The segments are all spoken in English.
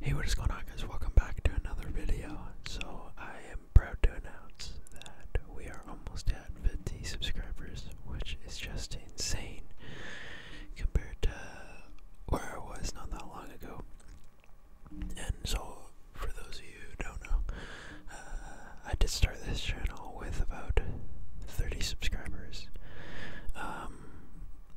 Hey, what is going on guys? Welcome back to another video. So I am proud to announce that we are almost at 50 subscribers, which is just insane compared to where I was not that long ago. And so for those of you who don't know, uh, I did start this channel with about 30 subscribers. Um,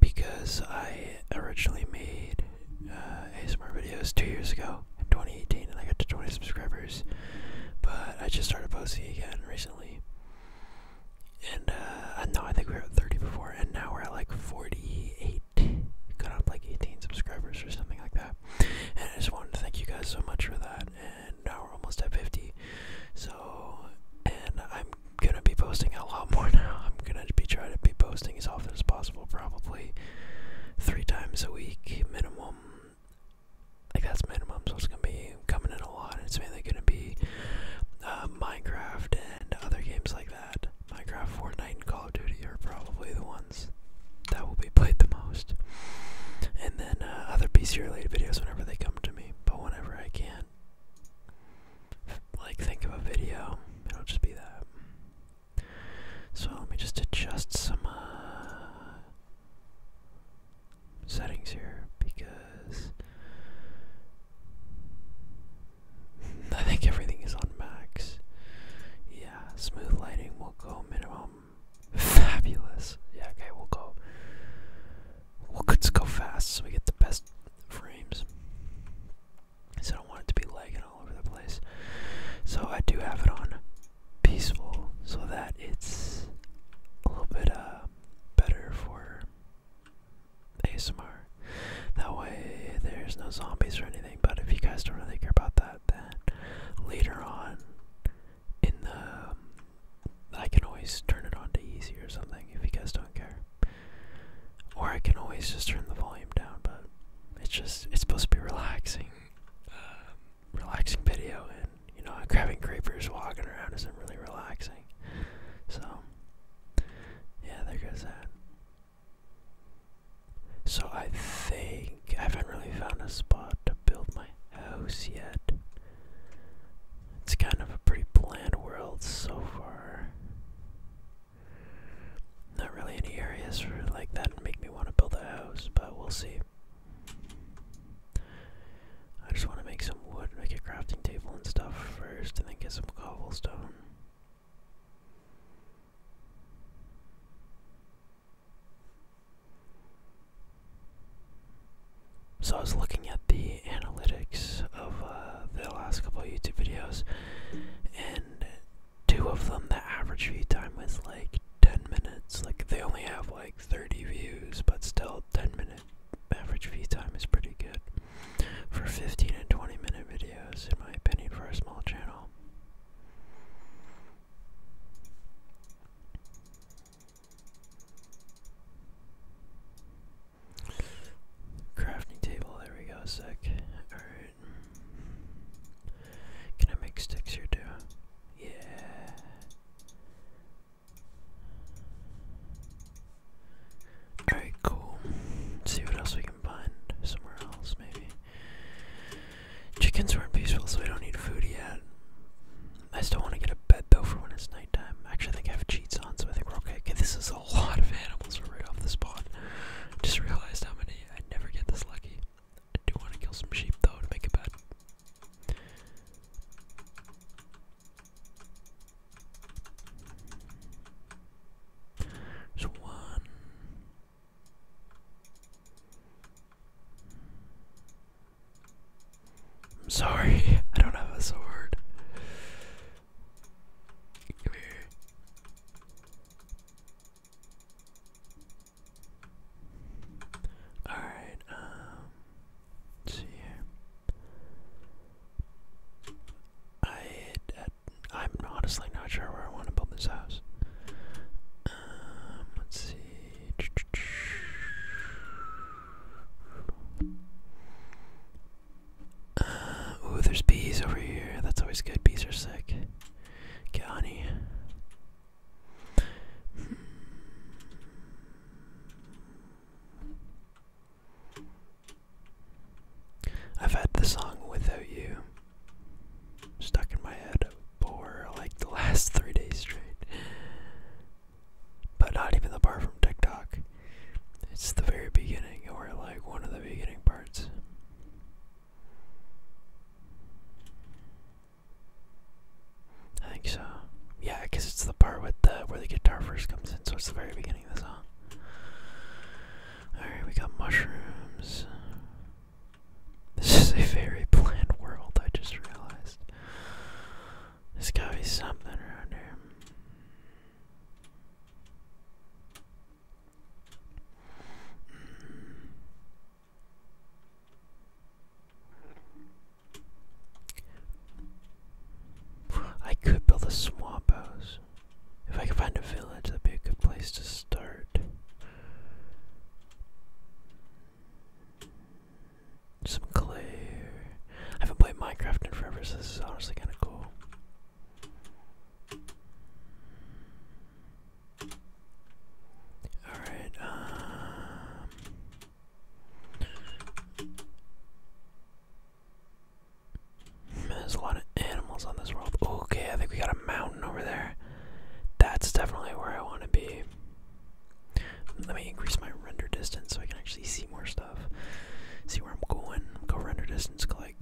because I originally made uh, ASMR videos two years ago in 2018 and I got to 20 subscribers, but I just started posting again recently. And uh, no, I think we were at 30 before, and now we're at like 48. Got up like 18 subscribers or something like that. And I just wanted to thank you guys so much for that. And now we're almost at 50. So, and I'm gonna be posting a lot more now. I'm gonna be trying to be posting as often as possible, probably three times a week minimum. Like that's minimum, so it's gonna be coming in a lot. It's mainly gonna be uh, Minecraft and other games like that. Minecraft, Fortnite, and Call of Duty are probably the ones that will be played the most. And then uh, other PC related videos whenever they come to me, but whenever I can like think of a video, it'll just be that. So let me just adjust some uh, settings here because I think everything is on max. Yeah, smooth lighting will go minimum. Fabulous. Yeah, okay, we'll go. We'll let go fast so we get the best frames. So I don't want it to be lagging all over the place. So I do have it on peaceful so that it's a little bit uh, better for ASMR. That way there's no zombies or anything, but if you guys don't really care about that, then later on in the. Um, I can always turn it on to easy or something if you guys don't care. Or I can always just turn the volume down, but it's just, it's supposed to be relaxing, uh, relaxing video, and, you know, grabbing creepers walking around isn't really relaxing. So, yeah, there goes that. So I think I haven't really found a spot to build my house yet. It's kind of a pretty bland world so far. Not really any areas for like that make me want to build a house, but we'll see. I just want to make some wood, make a crafting table and stuff first, and then get some cobblestone. So I was looking at the analytics of uh, the last couple YouTube videos, and two of them the average view time was like 10 minutes. Like they only have like 30 views, but still 10 minute average view time is pretty good for 15 and 20 minute videos, in my opinion, for a small channel. Crafting table, there we go, sec. Alright. Can I make sticks here too? Yeah. Alright, cool. see what else we can find somewhere else, maybe. Chickens weren't peaceful, so I don't need food yet. I still want to get a bed though for when it's nighttime. Actually, I think I have cheats on, so I think we're okay. this is a lot of animals right off the spawn. Just realized how many. I never get this lucky. I do want to kill some sheep though to make it bad. There's one. I'm sorry, I don't have a sword. Come here. Alright, um let's see I, I uh, I'm honestly not sure where I want to build this house. Um let's see ooh, there's bees over here. That's always good. Bees are sick. Get honey. Hmm. I've had the song Without You stuck in my head for like the last three days straight. But not even apart from TikTok. It's the very beginning, or like one of the beginning parts. I think so. Yeah, because it's the part with the where the guitar first comes in, so it's the very beginning of the song. Alright, we got mushrooms. This is a very bland world, I just realized. There's gotta be something around here. I could build a swamp house. If I could find a village, that'd be a good place to start. Some clay. I haven't played Minecraft in forever, so this is honestly kind of cool. All right. Um, there's a lot of animals on this world. Okay, I think we got a mountain over there. That's definitely where I want to be. Let me increase my render distance so I can actually see more stuff. See where I'm going. Go render distance, Click.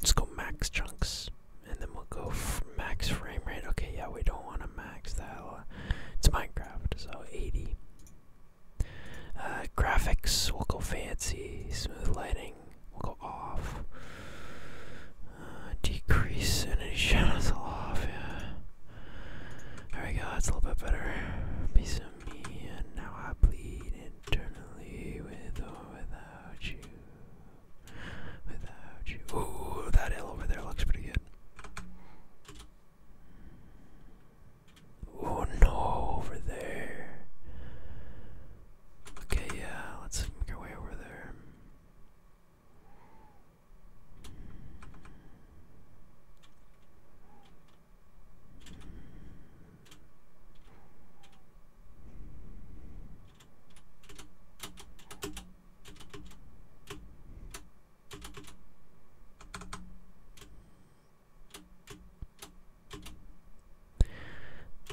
Let's go max chunks, and then we'll go max frame rate. Okay, yeah, we don't want to max that. It's Minecraft, so 80. Uh, graphics, we'll go fancy. Smooth lighting, we'll go off. Uh, decrease any shadows off, yeah. There we go, that's a little bit better. Piece of me, and now I bleed internally with or uh, without without you. Without you. Ooh, that hill over there looks pretty good. Oh no, over there. Okay, yeah, let's make our way over there.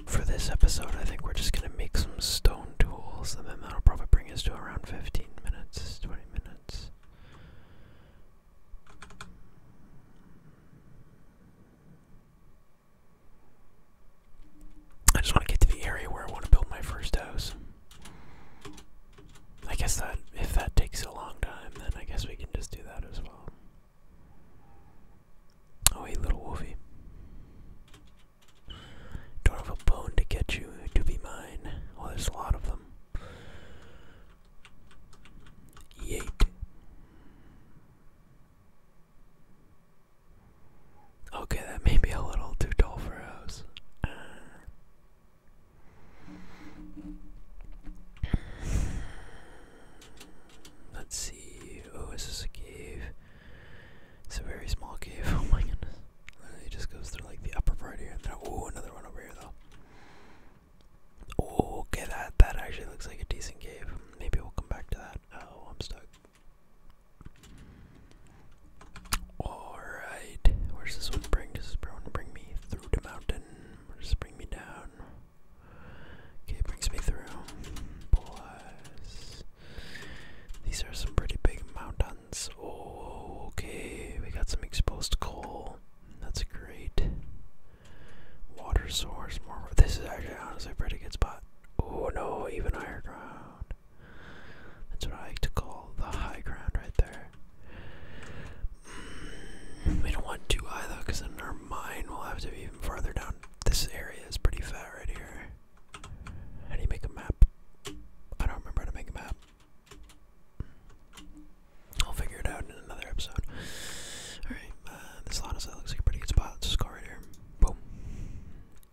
For this episode, I think we're just going to make some stone tools, and then that'll probably bring us to around 15 minutes, 20 minutes. I just want to get to the area where I want to build my first house. I guess that if that takes a long time, then I guess we can just do that as well. Oh, hey, little wolfie. Don't have a bone to get you to be mine. Oh, there's a lot of them. Yeet. Okay, that may be a little too tall for us. Uh, let's see. Oh, is this a cave? It's a very small cave. Oh my goodness. It just goes through like the upper part here. And then, oh, another one over here though. Oh, okay, that that actually looks like a decent cave maybe we'll come back to that. Oh, I'm stuck. Alright, where's this one bring? Does bring me through the mountain? Or bring me down? Okay, brings me through. Plus, these are some pretty big mountains. Oh, okay, we got some exposed coal. That's great. Water source, more. This is actually honestly a pretty good spot. Oh no, even higher ground. That's what I like to call the high ground right there. Mm, we don't want too high though, because in our mine will have to be even farther down. This area is pretty fat right here. How do you make a map? I don't remember how to make a map. I'll figure it out in another episode. Alright, uh, this honestly looks like a pretty good spot. Let's just go right here. Boom.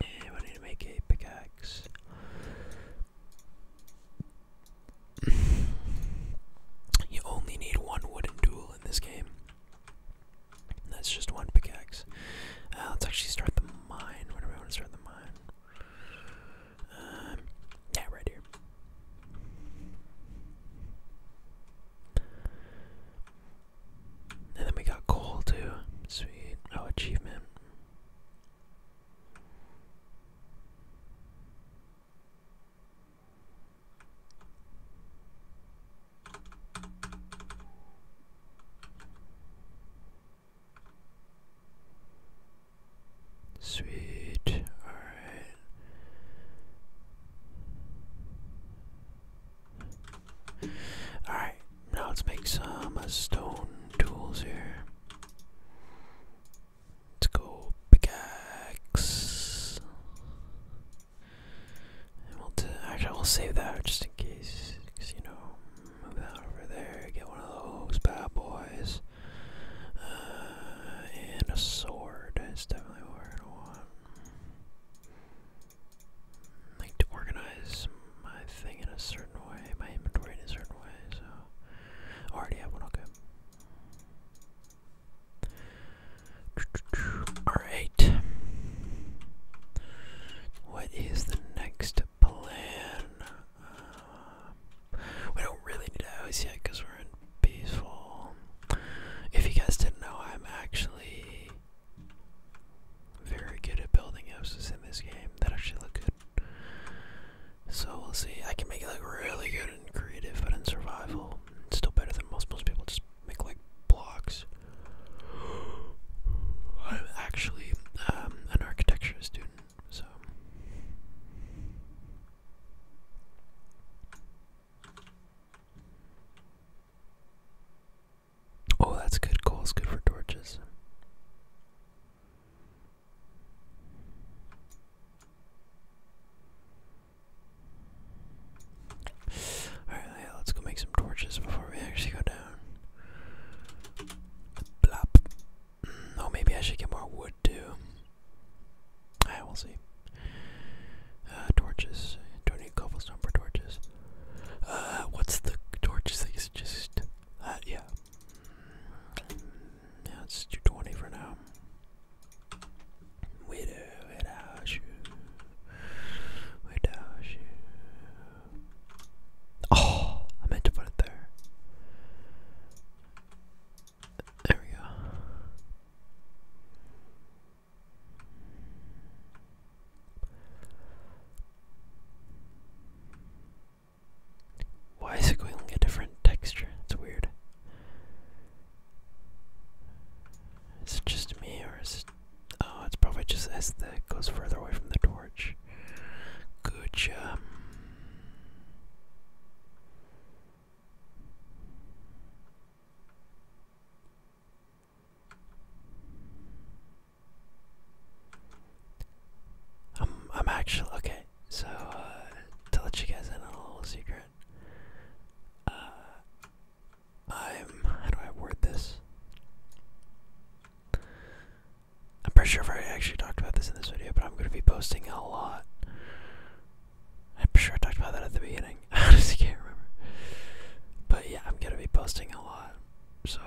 And we need to make a pickaxe. you only need one wooden duel in this game. That's just one pickaxe. Uh, let's actually start the mine. Where do want to start the mine? Um, yeah, right here. And then we got coal too. Sweet. Oh, achievement. Sweet. All right. Alright, now let's make some stone tools here. Let's go pickaxe. will actually, we'll save that just in case. Because, you know, move that over there, get one of those bad boys. Uh, and a sword is definitely what we're want like to organize my thing in a certain way, my inventory in a certain way, so already have one, okay. Alright. What is the next plan? Uh, we don't really need a house yet because we're in peaceful. If you guys didn't know, I'm actually very good at building houses in this game that actually look good. So we'll see. I can make it look really good and creative, but in survival, it's still better than most. Most people just make like blocks. I'm actually um, an architecture student, so. Oh, that's good. Coal's good for torches. Alright, yeah, let's go make some torches before we actually go down. Blop. Mm, oh, maybe I should get more wood too. Alright, will see. Uh, torches. Donate cobblestone for torches. Uh, what's the torches that you uh, yeah. Yeah, 220 for now. Widow without you. Without Oh, I meant to put it there. There we go. Why is it going a different texture? It's weird. Is it just me or is it oh it's probably just as that goes further away from the torch. Good job. I'm I'm actually okay. So uh, to let you guys in a little secret, uh, I'm how do I word this? I'm pretty sure i actually talked about this in this video, but I'm going to be posting a lot. I'm sure I talked about that at the beginning. I honestly can't remember. But yeah, I'm gonna be posting a lot. So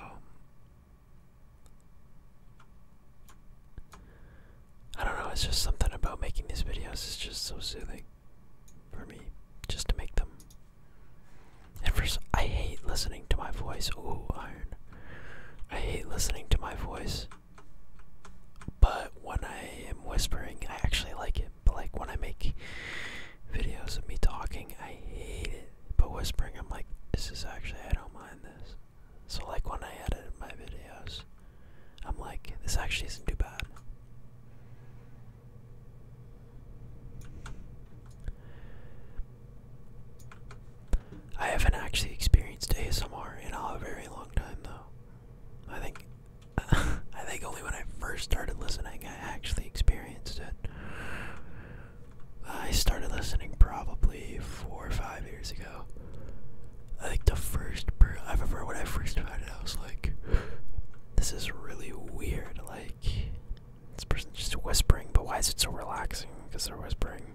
I don't know, it's just something about making these videos is just so soothing for me just to make them. And for I hate listening to my voice. Ooh, iron. I hate listening to my voice. But when I am whispering, I actually like it. But like when I make videos of me talking, I hate it. But whispering, I'm like, this is actually, I don't mind this. So like when I edit my videos, I'm like, this actually isn't too bad. I haven't actually experienced ASMR in a very long time though. I think I think only when I first started listening, I actually experienced it. I started listening probably four or five years ago. I think the first i I've ever heard when I first found it, I was like, "This is really weird. Like, this person's just whispering, but why is it so relaxing? Because they're whispering."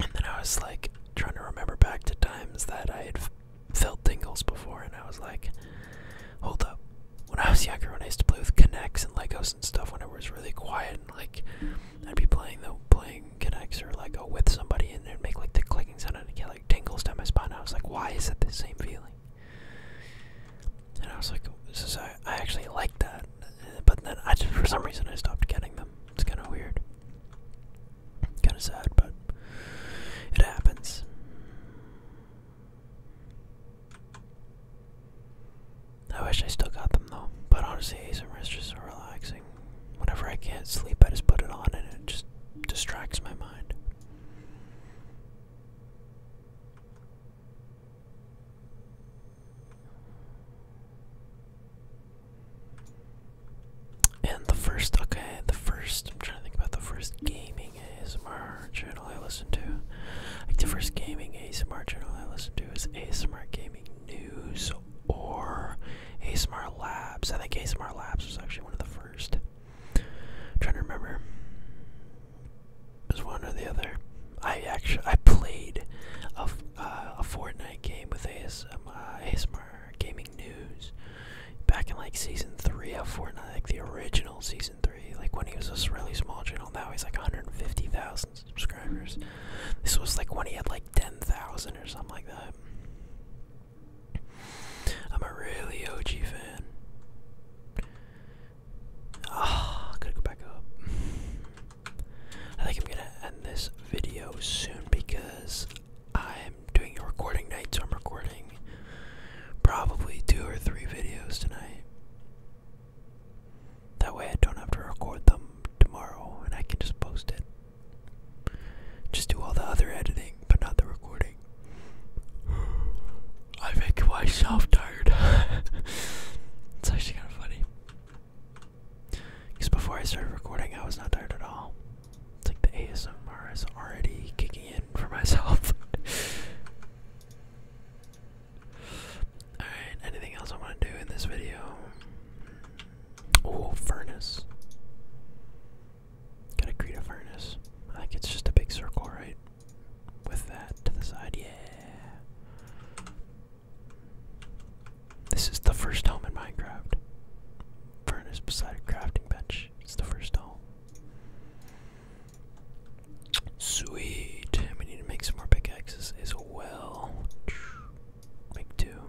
And then I was like trying to remember back to times that I had felt tingles before, and I was like, hold up. When I was younger, when I used to play with Kinects and Legos and stuff, when it was really quiet, and like I'd be playing the playing Kinects or Lego with somebody, and they'd make like the clicking sound, and it get like tingles down my spine. I was like, why is it the same feeling? And I was like, this is I actually like that, but then I just for some reason I stopped getting them. It's kind of weird, kind of sad, but it happens. I wish I still got them though, but honestly, these are just so relaxing. Whenever I can't sleep, I just put it on and it just distracts my mind. And the first, okay, the first, I'm trying to think about the first gaming ASMR channel I listen to. Like the first gaming ASMR channel I listened to is ASMR Gaming News or ASMR Labs. I think ASMR Labs was actually one of the 1st trying to remember. It was one or the other. I actually I played a, uh, a Fortnite game with ASM, ASMR Gaming News back in like season three of Fortnite, like the original season three, like when he was a really small channel. Now he's like 150,000 subscribers. This was like when he had like 10,000 or something like that. I'm a really OG fan. Ah, gotta go back up. I think I'm gonna end this video soon because I'm doing a recording night, so I'm recording probably two or three videos tonight. That way I don't have to record them tomorrow and I can just post it. Just do all the other editing, but not the recording. I I'm myself tired. it's actually kind of funny. Because before I started recording, I was not tired at all. It's like the ASMR is already kicking in for myself. Alright, anything else I want to do in this video? Oh, furnace. Gotta create a furnace. I think it's just a big circle, right? With that to the side, yeah. This is the first home in Minecraft. Furnace beside a crafting bench. It's the first home. Sweet. We need to make some more pickaxes as well. Make two.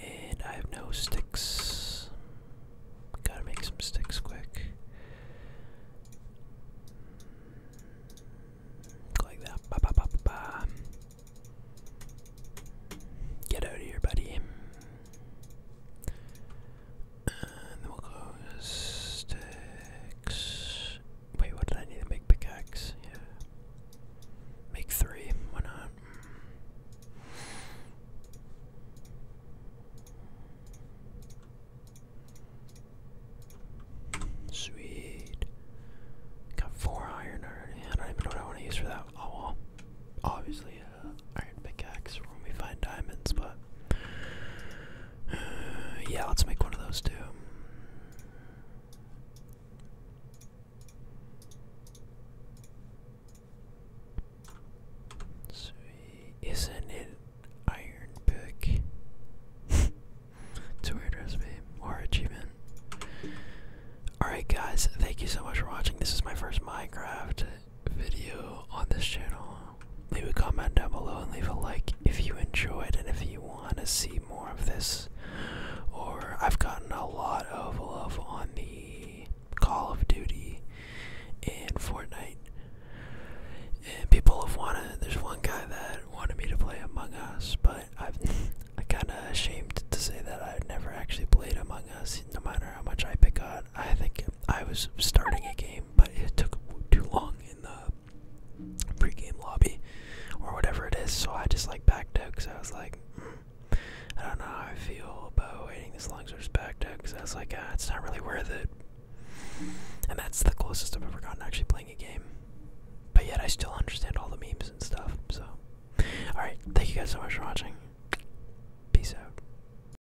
And I have no sticks. Gotta make some sticks quick. Like that. Get out of here, buddy. And then we'll go sticks. Wait, what did I need to make pickaxe? Yeah. Make three, why not? Sweet. Got four iron already. I don't even know what I want to use for that. Oh well. Obviously iron pickaxe for when we find diamonds, but uh, yeah, let's make one of those too. So, isn't it iron pick? it's recipe or achievement. Alright guys, thank you so much for watching. This is my first Minecraft video on this channel. Leave a comment down below and leave a like if you enjoyed and if you want to see more of this. Or I've gotten a lot of love on the Call of Duty and Fortnite. And people have wanted. There's one guy that wanted me to play Among Us, but i am I kind of ashamed to say that I've never actually played Among Us no matter how much I pick on, I think I was starting a game, but it took too long in the pre-game lobby or whatever it is. So I just like backed out because I was like, hmm, I don't know how I feel about waiting this long, so I just backed out because I was like, ah, it's not really worth it. And that's the closest I've ever gotten actually playing a game. But yet I still understand all the memes and stuff. So, all right, thank you guys so much for watching. Peace out.